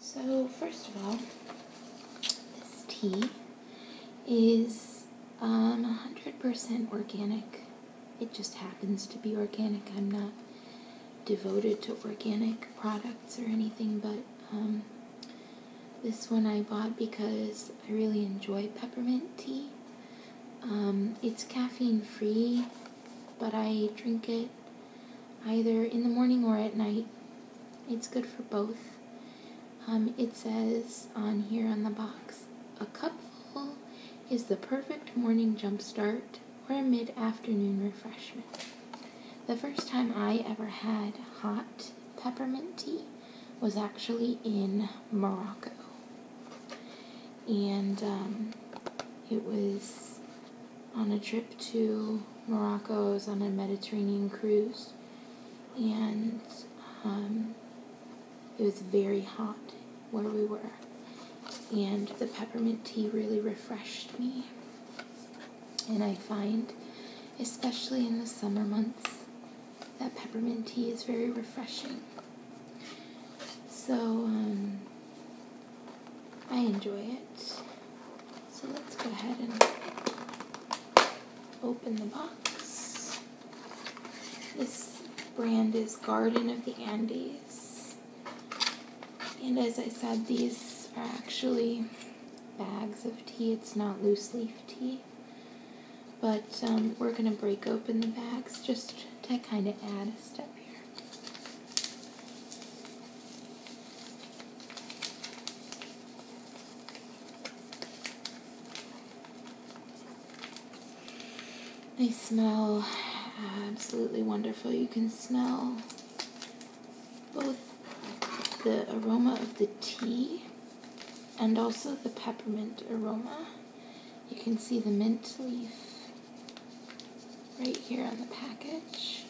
So first of all, this tea is um, 100% organic. It just happens to be organic. I'm not devoted to organic products or anything, but um, this one I bought because I really enjoy peppermint tea. Um, it's caffeine free, but I drink it either in the morning or at night. It's good for both. Um, it says on here on the box a cupful is the perfect morning jumpstart or a mid afternoon refreshment. The first time I ever had hot peppermint tea was actually in Morocco. And um, it was on a trip to Morocco. I was on a Mediterranean cruise, and um, it was very hot where we were, and the peppermint tea really refreshed me. And I find, especially in the summer months, that peppermint tea is very refreshing. So, um, I enjoy it. So let's go ahead and open the box. This brand is Garden of the Andes. And as I said, these are actually bags of tea. It's not loose leaf tea. But um, we're going to break open the bags just to kind of add a step here. They smell absolutely wonderful. You can smell both the aroma of the tea and also the peppermint aroma. You can see the mint leaf right here on the package.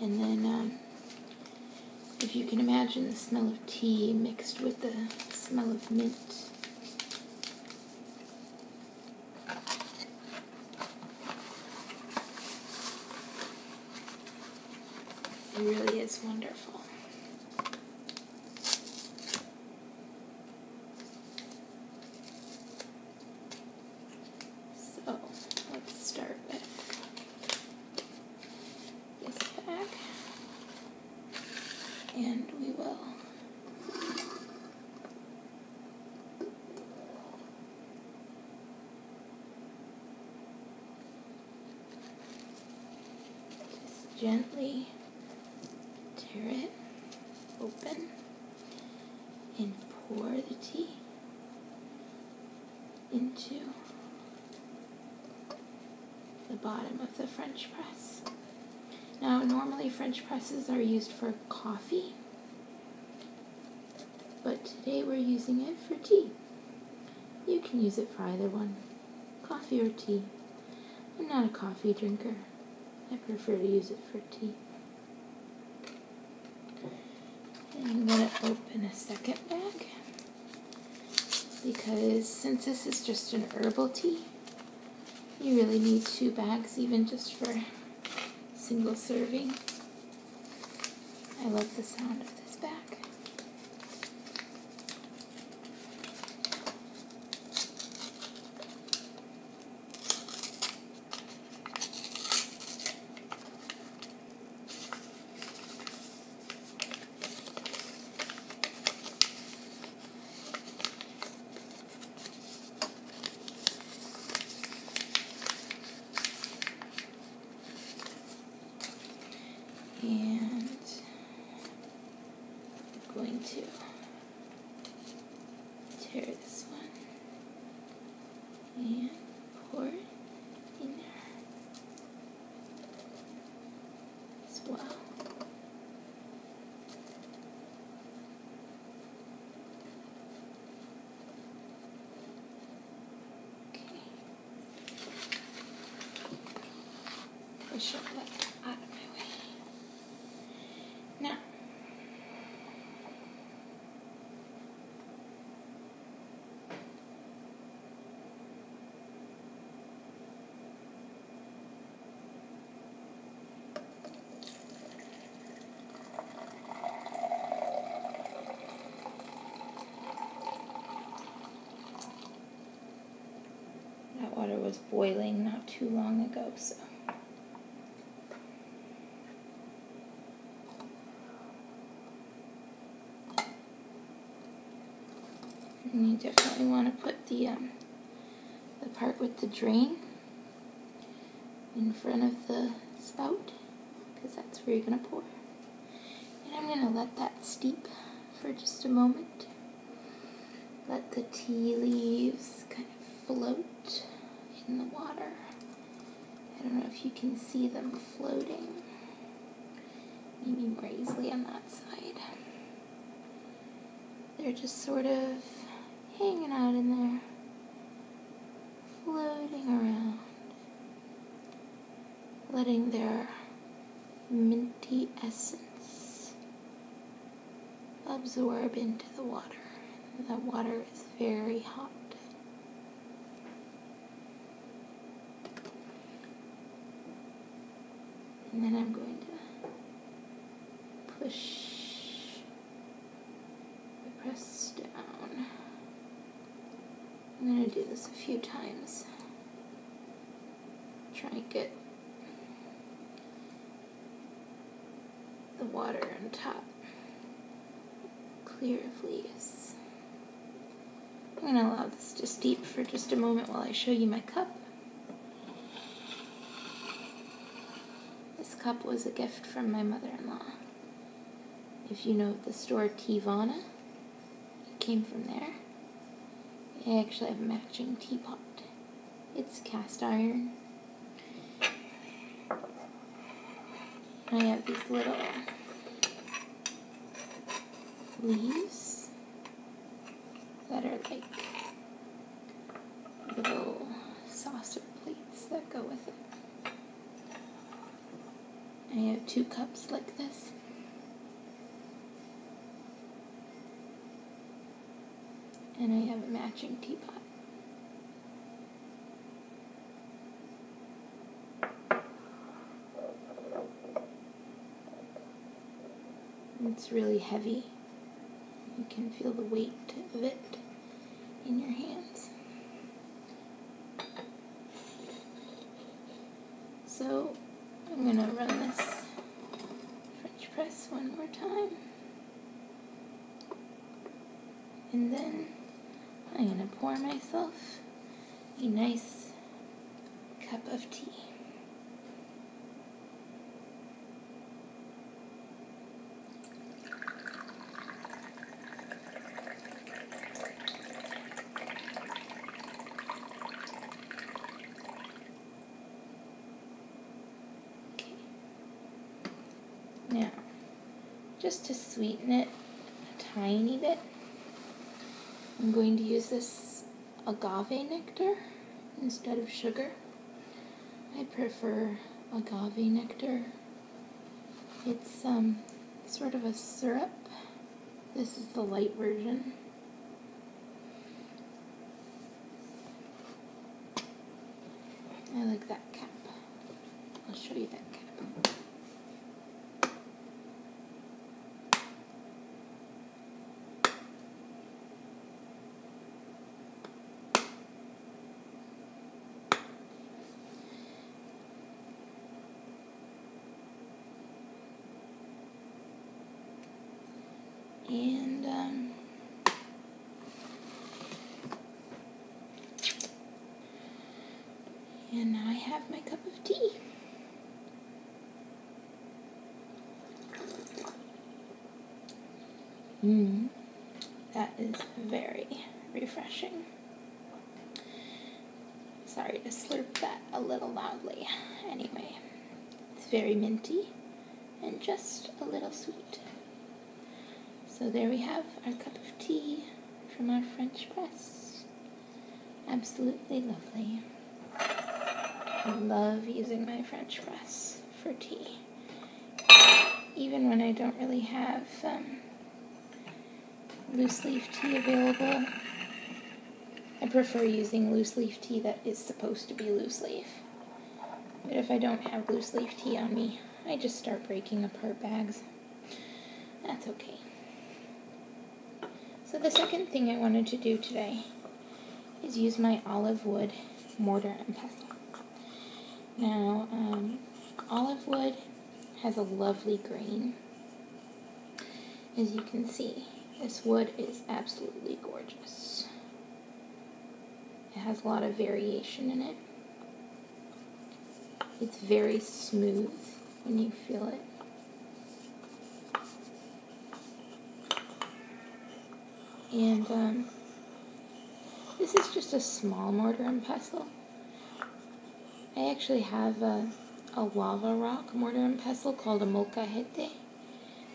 And then, uh, if you can imagine the smell of tea mixed with the smell of mint. It really is wonderful. So let's start with this bag, and we will. Just gently tear it open and pour the tea into the bottom of the French press. Now, normally French presses are used for coffee, but today we're using it for tea. You can use it for either one, coffee or tea. I'm not a coffee drinker. I prefer to use it for tea. And I'm going to open a second bag because since this is just an herbal tea, you really need two bags even just for single serving. I love the sound of this bag and I'm going to tear this one and pour it in there as well. Okay. Push it out of my way that water was boiling not too long ago, so you definitely want to put the um, the part with the drain in front of the spout because that's where you're going to pour. And I'm going to let that steep for just a moment. Let the tea leaves kind of float in the water. I don't know if you can see them floating. Maybe more easily on that side. They're just sort of hanging out in there, floating around, letting their minty essence absorb into the water. That water is very hot. And then I'm going to push, press down. I'm going to do this a few times. Try and get the water on top clear of leaves. I'm going to allow this to steep for just a moment while I show you my cup. This cup was a gift from my mother-in-law. If you know the store Tivana, it came from there. I actually have a matching teapot. It's cast iron, I have these little leaves that are like little saucer plates that go with it. I have two cups like this. And I have a matching teapot. It's really heavy. You can feel the weight of it in your hands. So I'm going to run this French press one more time. And then I'm going to pour myself a nice cup of tea. Now, just to sweeten it a tiny bit, I'm going to use this agave nectar instead of sugar. I prefer agave nectar. It's um, sort of a syrup. This is the light version. I like that cap. I'll show you that cap. and um, and I have my cup of tea. Mm. That is very refreshing. Sorry to slurp that a little loudly. Anyway, it's very minty and just a little sweet. So there we have our cup of tea from our French press. Absolutely lovely. I love using my French press for tea. Even when I don't really have um, loose leaf tea available, I prefer using loose leaf tea that is supposed to be loose leaf. But if I don't have loose leaf tea on me, I just start breaking apart bags. That's okay. So the second thing I wanted to do today is use my olive wood mortar and pestle. Now, um, olive wood has a lovely grain. As you can see, this wood is absolutely gorgeous. It has a lot of variation in it. It's very smooth when you feel it. And um, this is just a small mortar and pestle. I actually have a, a lava rock mortar and pestle called a molcajete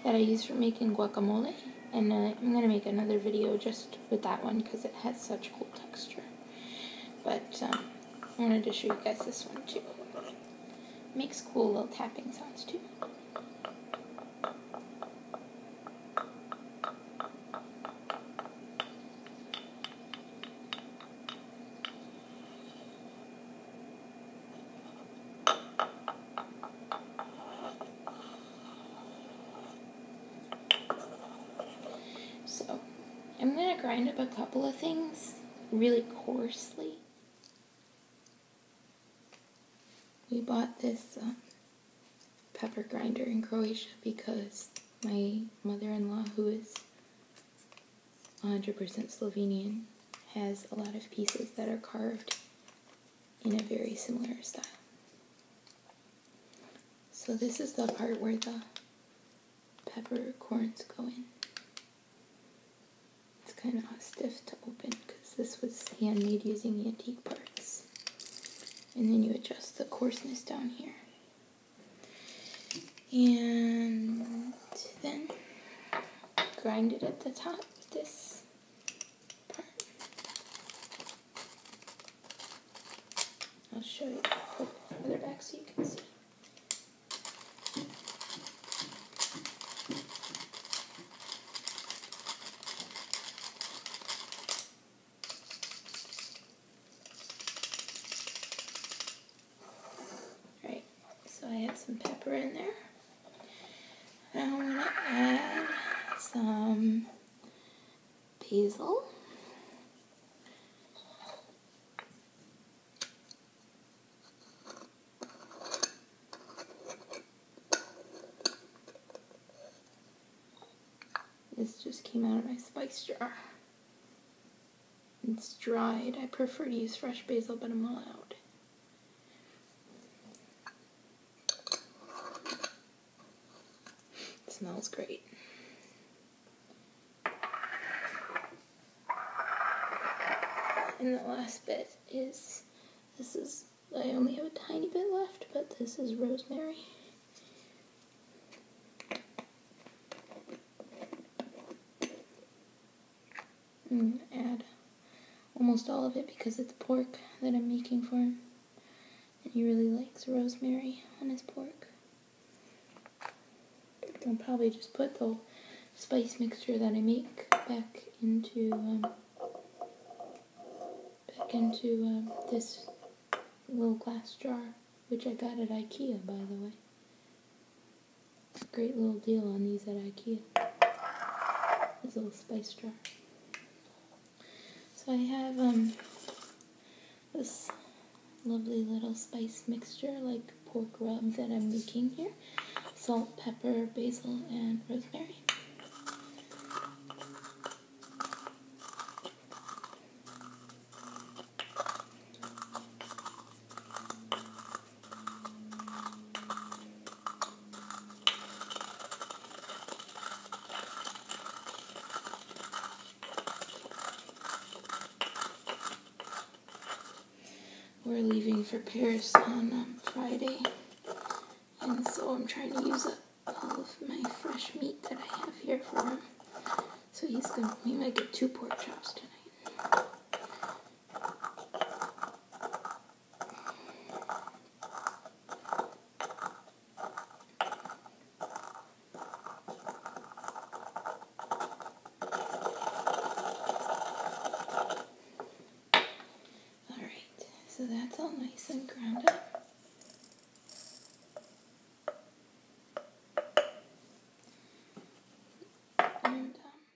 that I use for making guacamole. And I'm going to make another video just with that one because it has such cool texture. But um, I wanted to show you guys this one too. Makes cool little tapping sounds too. So I'm going to grind up a couple of things really coarsely. We bought this um, pepper grinder in Croatia because my mother-in-law, who is 100% Slovenian, has a lot of pieces that are carved in a very similar style. So this is the part where the peppercorns go in. It's kind of stiff to open because this was handmade using antique parts. And then you adjust the coarseness down here. And then grind it at the top this I'll show you further back so you can see. Right. So I have some pepper in there. I'm going to add some basil. This just came out of my spice jar. It's dried. I prefer to use fresh basil, but I'm allowed smells great. And the last bit is this is, I only have a tiny bit left, but this is rosemary add almost all of it because it's pork that I'm making for him. And he really likes rosemary on his pork. I'll probably just put the spice mixture that I make back into um, back into um, this little glass jar, which I got at IKEA, by the way. It's a great little deal on these at IKEA. This little spice jar. So I have um this lovely little spice mixture like pork rub that I'm making here. Salt, pepper, basil, and rosemary. We're leaving for Paris on um, Friday, and so I'm trying to use up all of my fresh meat that I have here for him. So he's gonna, he might get two pork chops tonight. Alright, so that's all nice and ground up. And, um,